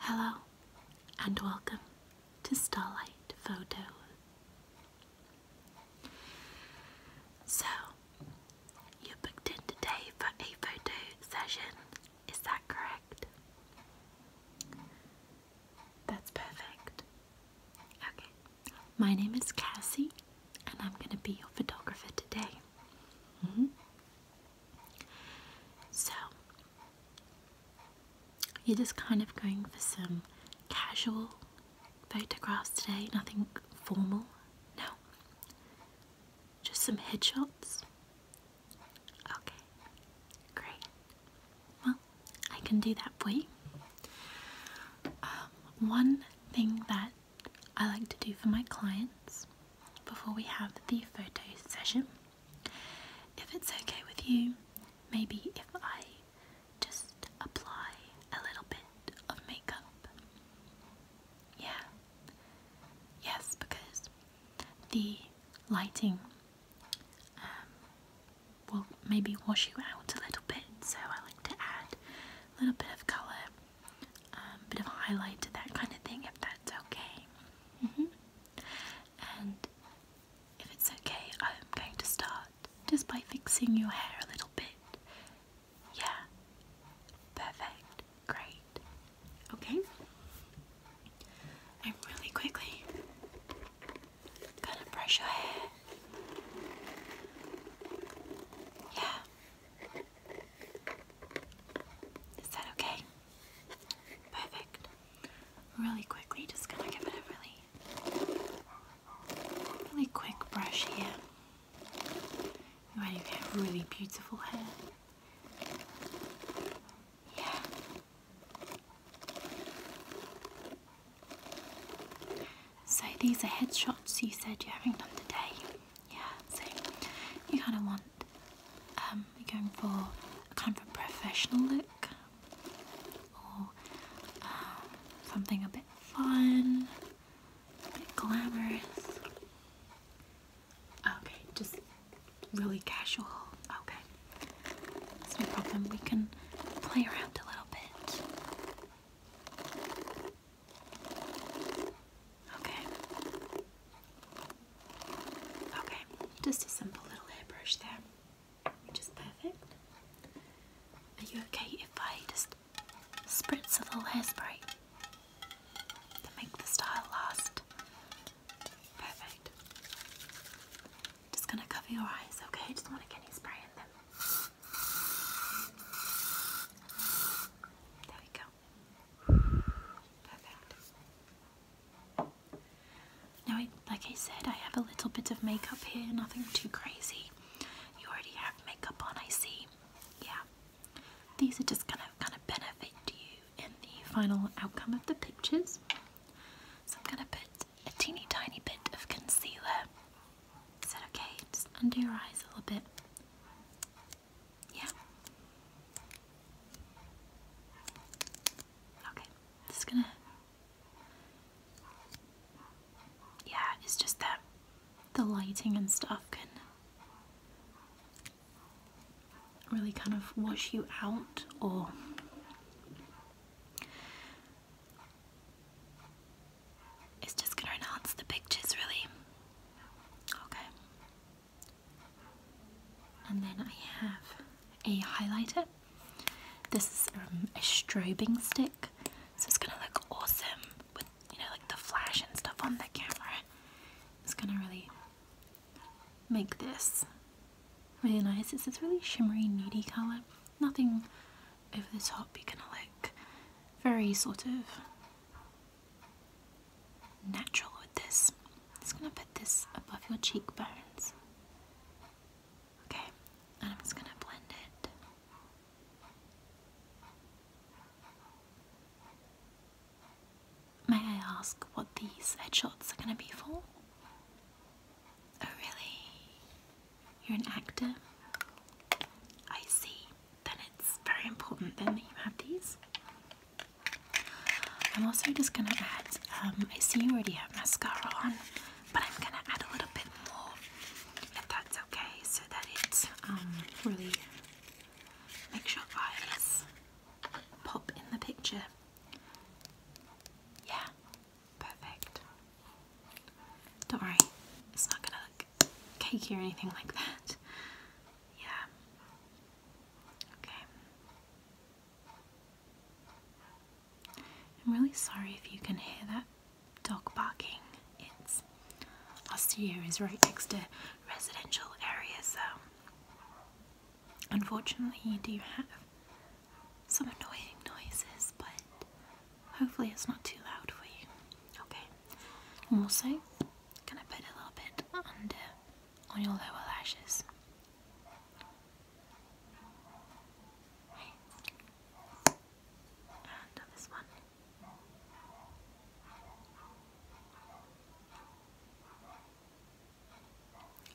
Hello and welcome to Starlight Photo. So, you booked in today for a photo session, is that correct? That's perfect. Okay, my name is Cassie, and I'm going to be your photographer today. Mm-hmm. So, you're just kind of going for some casual photographs today, nothing formal, no. Just some headshots. Okay, great. Well, I can do that for you. Um, one thing that I like to do for my clients before we have the photo session, if it's okay with you, maybe if I just apply a little bit of makeup. Yeah. Yes, because the lighting um, will maybe wash you out a little bit, so I like to add a little bit of colour, a um, bit of highlight, to that kind of thing, if that's okay. -hmm. And if it's okay, I'm going to start just by fixing your hair a little bit. Yeah. Perfect. Great. Okay. I'm really quickly gonna brush your hair. Yeah. Is that okay? Perfect really quickly, just gonna give it a really, really quick brush here. you get really beautiful hair. Yeah. So these are headshots you said you're having done today. Yeah, so you kind of want, um, going for kind of a professional look or oh, um, something a bit fun, a bit glamorous. Okay, just really casual. Okay, no problem. We can play around a little bit. Okay. Okay, just a simple little hairbrush there which is perfect. Are you okay if I just spritz a little hairspray to make the style last? Perfect. Just gonna cover your eyes, okay? just want to get any spray in them. There we go. Perfect. Now, like I said, I have a little bit of makeup here, nothing too crazy. You already have makeup on, I see. Yeah. These are just going to kind of benefit you in the final outcome of the pictures. So I'm going to put a teeny tiny bit of concealer. Is that okay? under your eyes a little bit. Yeah. Okay. Just going to yeah, it's just that the lighting and stuff can really kind of wash you out or it's just gonna enhance the pictures really. Okay. And then I have a highlighter. This is um, a strobing stick, so it's gonna look awesome with you know like the flash and stuff on the camera. It's gonna really make this really nice. It's this really shimmery nudie colour. Nothing over the top. You're gonna look very sort of natural with this. It's gonna put this above your cheekbones. Okay, and I'm just gonna blend it. May I ask what these headshots are gonna be for? Oh, really? You're an actor? I see. Then it's very important then that you have these. I'm also just gonna add, um, I see you already have mascara on, but I'm gonna add a little bit more if that's okay so that it um, really makes your eyes pop in the picture. Yeah, perfect. Don't worry, it's not gonna look cakey or anything like that. Yeah. Okay. I'm really sorry if you can hear that dog barking. It's our studio is right next to residential areas, so um, unfortunately you do have some annoying noises, but hopefully it's not too loud for you. Okay. And also, gonna put a little bit under on your lower lashes.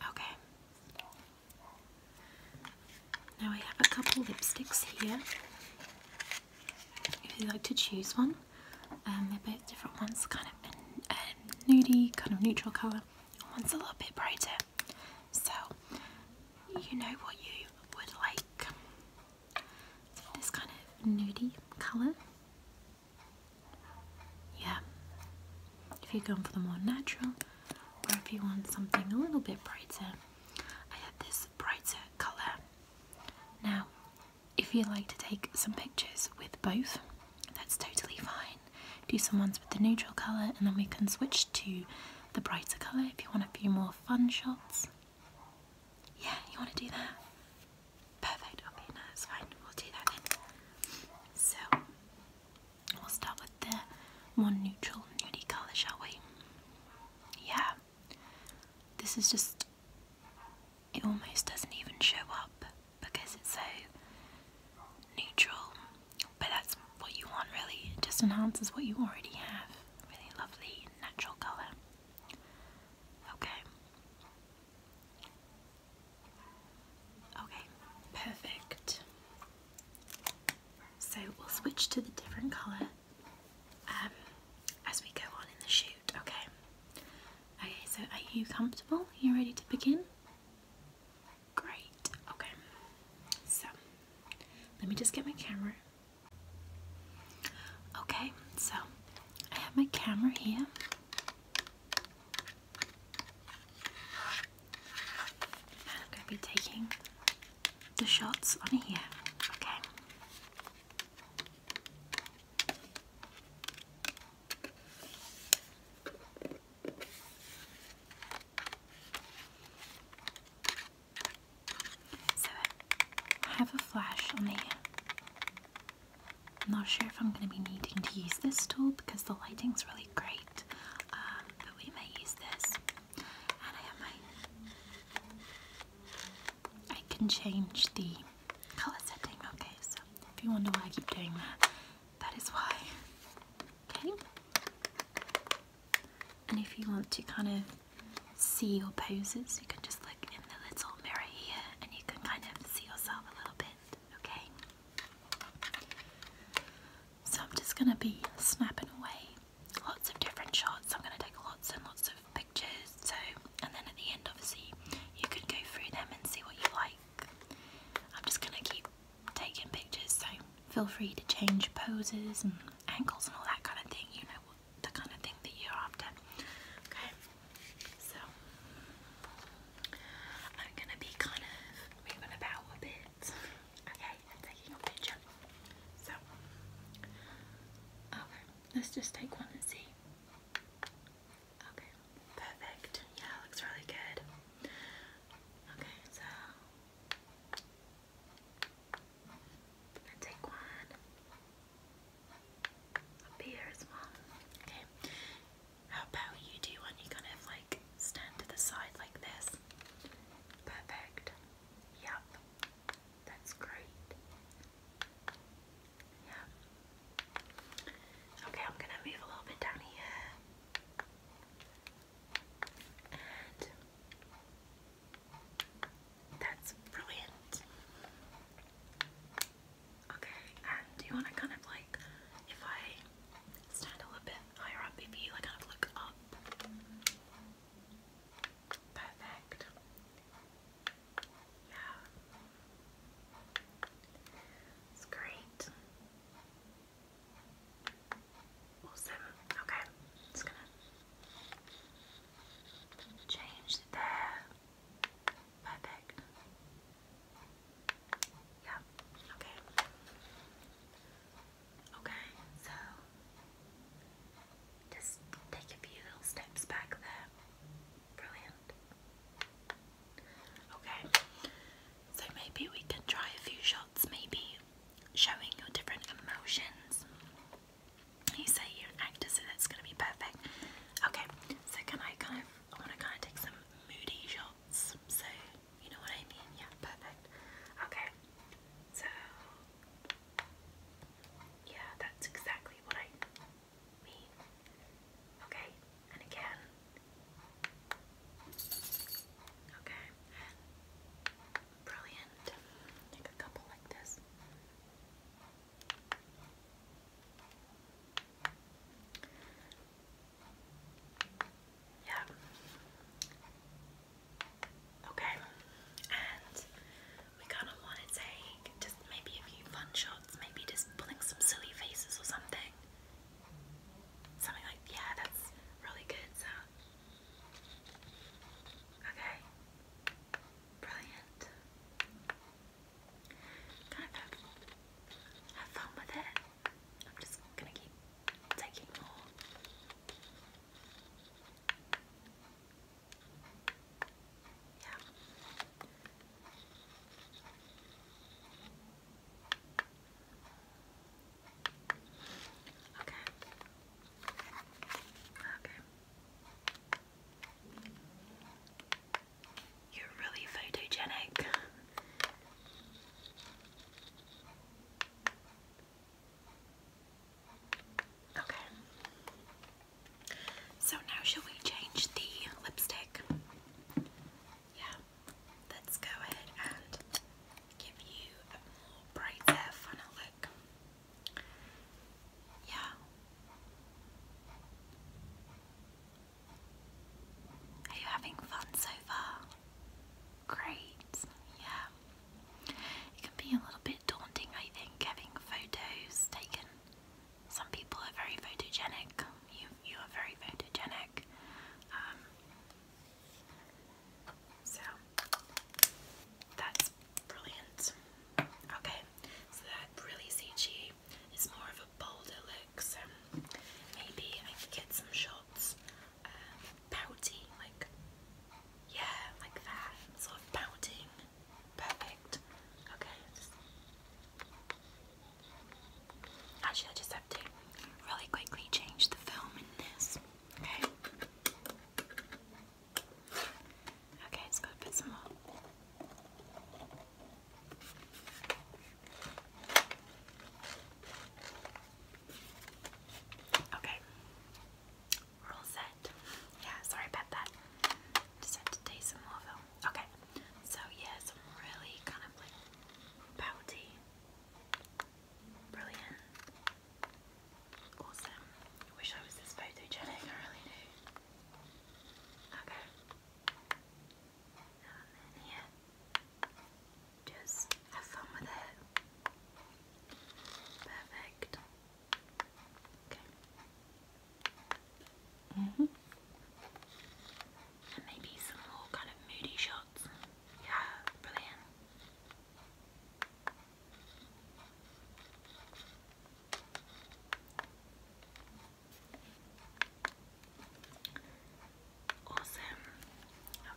Okay. Now I have a couple lipsticks here. If you like to choose one, um, they're both different ones, kind of a, a um, kind of neutral colour. One's a little bit brighter, so, you know what you would like. This kind of nudie colour. Yeah. If you're for the more natural, or if you want something a little bit brighter, I had this brighter colour. Now, if you like to take some pictures with both, that's totally fine. Do some ones with the neutral colour and then we can switch to the brighter colour if you want a few more fun shots. Yeah, you want to do that? Perfect, okay, no, that's fine. We'll do that then. So, we'll start with the one neutral nudie colour, shall we? Yeah. This is just. It almost doesn't even show up because it's so neutral, but that's what you want really. It just enhances what you already have. Really lovely natural colour. Okay. Okay, perfect. So we'll switch to the different colour um, as we go on in the shoot, okay? Okay, so are you comfortable? Are you ready to begin? Great. Okay. So, let me just get my camera. Okay, so I have my camera here. And I'm going to be taking the shots on here. Okay. So I have a flash on here. am not sure if I'm going to be needing to use this tool because the lighting's really great, um, but we may use this. And I have my. I can change the colour setting, okay, so if you wonder why I keep doing that, that is why. Okay? And if you want to kind of see your poses, you can just look in the little mirror here and you can kind of see yourself a little bit, okay? So I'm just going to be snapping away lots of different shots. I'm going to take lots and lots of pictures. So, and then at the end, obviously, you could go through them and see what you like. I'm just going to keep taking pictures, so feel free to change poses and angles and all that kind of thing, you know, the kind of thing that you're after. Okay, so I'm gonna be kind of moving about a bit. Okay, I'm taking a picture. So, okay, let's just take one and see. Okay, perfect. Yeah, looks really good. Okay, so take one up here as well. Okay, how about you do one? You kind of like stand to the side like this. Perfect. Yep, that's great. Yeah. Okay, I'm gonna move a little bit down here. that's brilliant. Okay, and do you want to kind of like, if I stand a little bit higher up, if you like kind of look up? Perfect. Yeah. It's great. Awesome. Okay, just gonna change there. Perfect. Yeah, okay. Okay, so just take a few little steps back there. Brilliant. Okay, so maybe we can try a few shots, maybe showing your different emotions. You say you're an actor, so that's going to be perfect. Okay, so can I kind of, I want to kind of take some moody shots, so you know what I mean? Yeah, perfect. Okay, so yeah, that's exactly what I me. Okay, and again. Okay, brilliant. Take a couple like this. Yeah. Okay, and we kind of want to take just maybe a few fun shots, maybe just pulling some silly faces or something. Something like, yeah, that's really good sound. Okay. Brilliant. Kind of have fun with it. I'm just gonna keep taking more. Yeah. Okay. Okay. You're really photogenic. Okay. So now shall we change the lipstick? yeah, let's go ahead and give you a more brighter, funner look. Yeah. Are you having fun so far? Great, yeah. It can be a little bit daunting, I think, having photos taken some people are very photogenic. You you are very photogenic. Um, so that's brilliant. Okay, so that really CG is more of a bolder look. maybe I get some shots um, like yeah, like that sort of pouting. Perfect. Okay, Actually, I just have to really quickly change the film in this. Okay. Okay, let's go put some more. Okay. We're all set. Yeah, sorry about that. Just have to taste some more film. Okay, so yeah, really kind of like pouty, brilliant, awesome. wish I was this photogenic, I Okay, and just have fun with it. Perfect. Okay. Mm -hmm. maybe some more kind of moody shots. Yeah, brilliant. Awesome.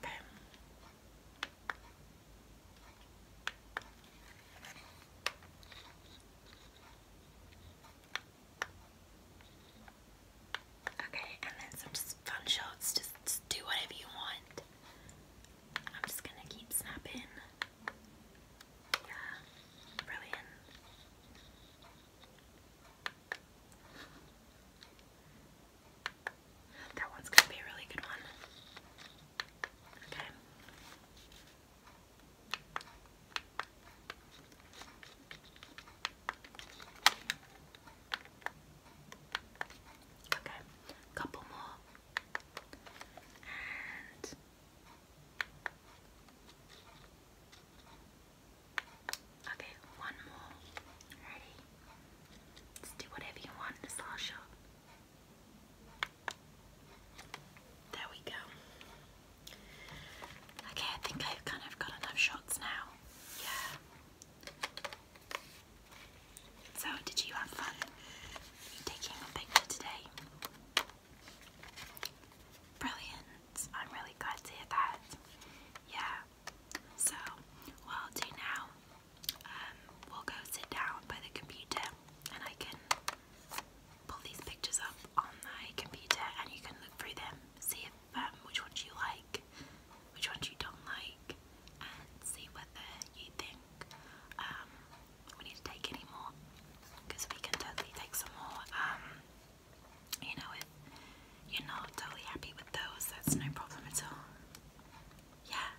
Okay. Okay, and then some fun shots. just do whatever you want. I'm just gonna keep snapping. Yeah, brilliant. That one's gonna be a really good one. Okay. Okay, couple more. Okay, one more. Ready? do whatever you want in There we go. Okay, I think I've kind of got enough shots now. Yeah. So, did you have fun taking a picture today? Brilliant. I'm really glad to hear that. Yeah. So, what do now, um, we'll go sit down by the computer and I can pull these pictures up on my computer and you can look through them, see if, um, which ones you like, which ones you don't like, and see whether you think um, we need to take any more. Because we can totally take some more. Um, you know, if you're not totally happy with those, that's no problem at all. Yeah.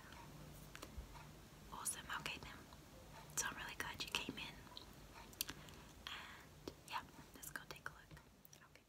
Awesome. Okay then. So I'm really glad you came in yeah, let's go take a look. Okay.